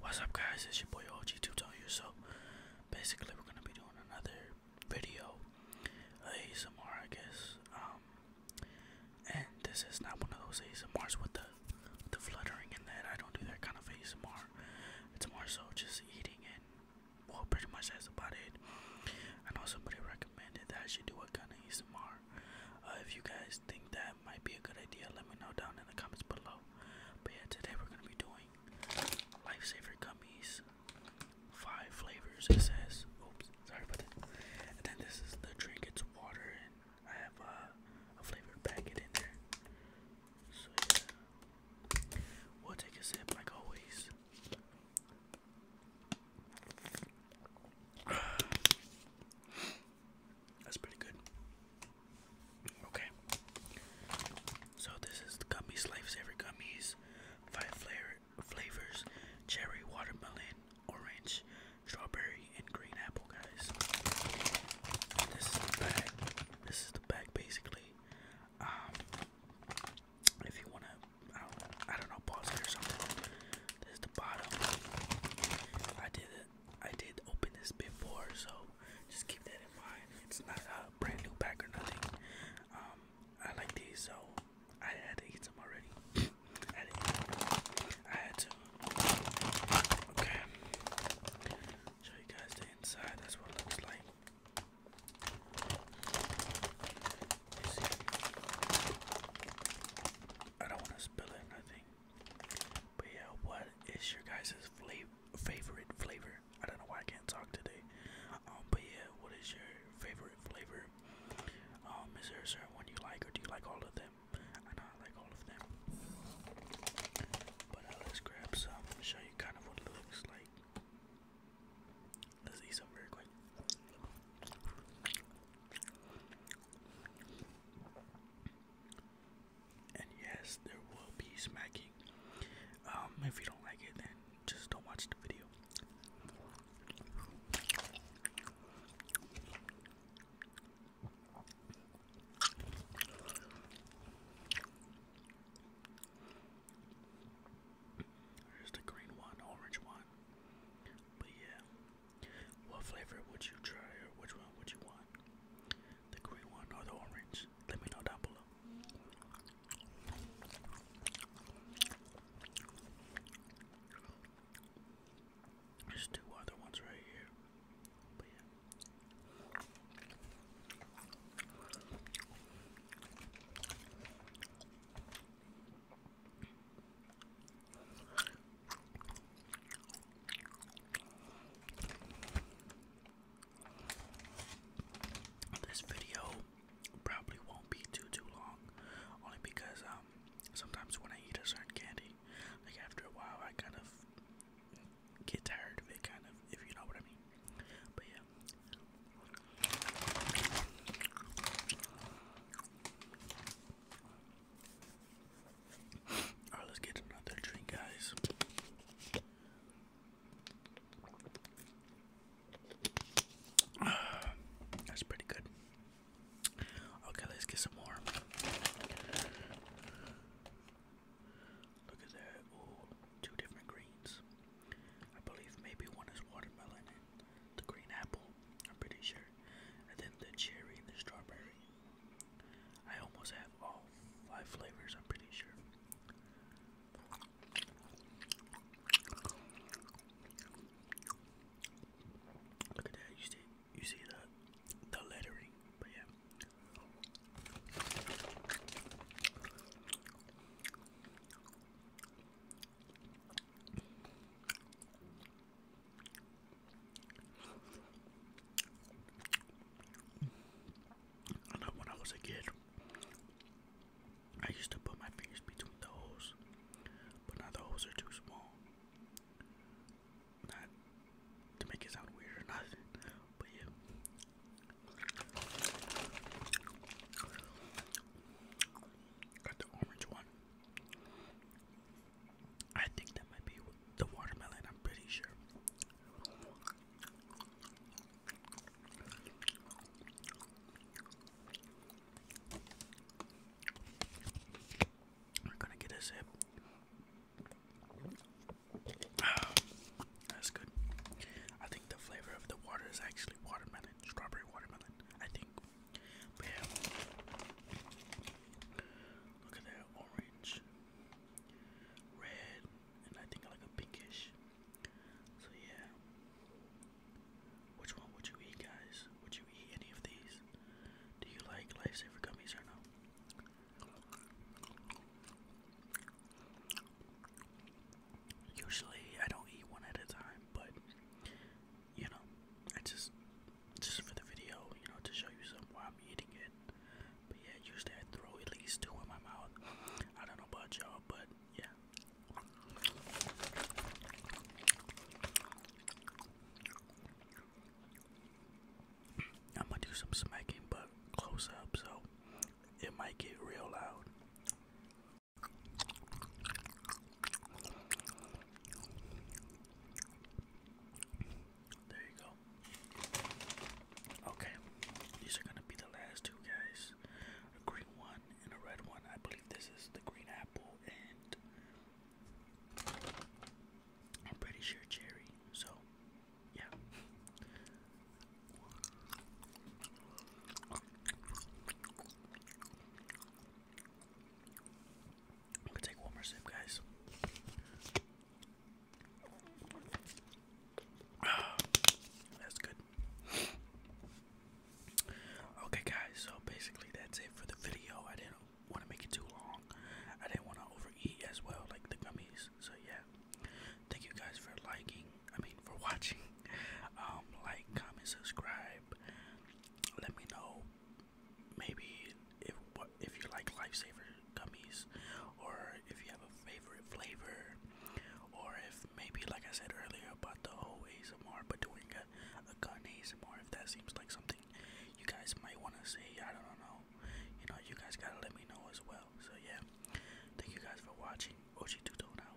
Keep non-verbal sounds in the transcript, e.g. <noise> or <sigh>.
What's up guys, it's your boy OG Tuton here. So basically we're gonna be doing another video ASMR I guess. Um, and this is not one of those ASMRs with the the fluttering and that. I don't do that kind of ASMR. It's more so just eating and well pretty much that's about it. I know somebody recommended that I should do a kind of ASMR. Uh, if you guys think that might be a good idea, let me know down in the comments below. But yeah, today we're gonna be doing lifesaver gummies, five flavors. It says, oops, sorry about that. And then this is the drink. It's water, and I have uh, a flavored packet in there. So yeah, we'll take a sip like always. <sighs> That's pretty good. Okay. So this is the gummies, lifesaver gummies, five flavor flavors: cherry, watermelon, orange, strawberry, and green apple, guys. This is the bag. This is the bag, basically. Um, if you wanna, I don't, know, pause it or something. This is the bottom. I did I did open this before, so just keep that in mind. It's not a brand new pack or nothing. Um, I like these, so I had to eat some already. <coughs> I, had to, Okay, show you guys the inside. That's what it looks like. You see? I don't want to spill it. Nothing. But yeah, what is your guys' favorite flavor? I don't know why I can't talk today. Um, but yeah, what is your favorite flavor? Um, is there a certain one you like, or do you like all of them? I know I like all of them. But uh, let's grab some. Show you kind of what it looks like. Let's eat some very quick. And yes, there will be smacking. Um, if you don't like it, then just don't watch the video. There's the green one, orange one. But yeah, what flavor would you try or which one would you want? The green one or the orange? Let me know down below. There's two other ones right here. This video probably won't be too too long, only because um sometimes when I eat a certain candy, like after a while I kind of get tired of it, kind of if you know what I mean. But yeah. Alright, let's get another drink, guys. <sighs> that's pretty good. Okay, let's get some more. Look at that. Oh, two different greens. I believe maybe one is watermelon the green apple, I'm pretty sure, and then the cherry and the strawberry. I almost have all five flavors, I'm pretty sure. Look at that, you see you see the the lettering, but yeah. I know when I was a kid, I used to put my fingers between the holes, but now the holes are too small. Not to make it sound weird or nothing, but yeah. Got the orange one. I think that might be the watermelon, I'm pretty sure. We're gonna get a sip. that's good. I think the flavor of the water is actually watermelon, strawberry watermelon. I think but yeah. Look at that orange, red, and I think like a pinkish. So yeah. Which one would you eat, guys? Would you eat any of these? Do you like lifesaver gummies or no? Usually I don't eat one at a time, but you know, I just just for the video, you know, to show you some while I'm eating it. But yeah, usually I throw at least two in my mouth. I don't know about y'all, but yeah. I'm gonna do some smacking, but close up, so it might get real loud. There you go. Okay, these are gonna be the last two guys. A green one and a red one. I believe this is the green apple and I'm pretty sure cherry. So, yeah. I'm gonna take one more sip, guys. <sighs> that's good. Okay, guys, so basically that's it for the video. I didn't want to make it too long. I didn't want to overeat as well, like the gummies. So yeah, thank you guys for liking. I mean, for <laughs> watching. Um, like, comment, subscribe. Let me know. Maybe if what if you like lifesaver gummies, or if you have a favorite flavor, or if maybe like I said earlier about the whole ASMR, but doing a, a gun ASMR. If that seems like something you guys might want to see, I don't know. You know, you guys gotta let me know as well. So yeah, thank you guys for watching. Ochi Tuto now.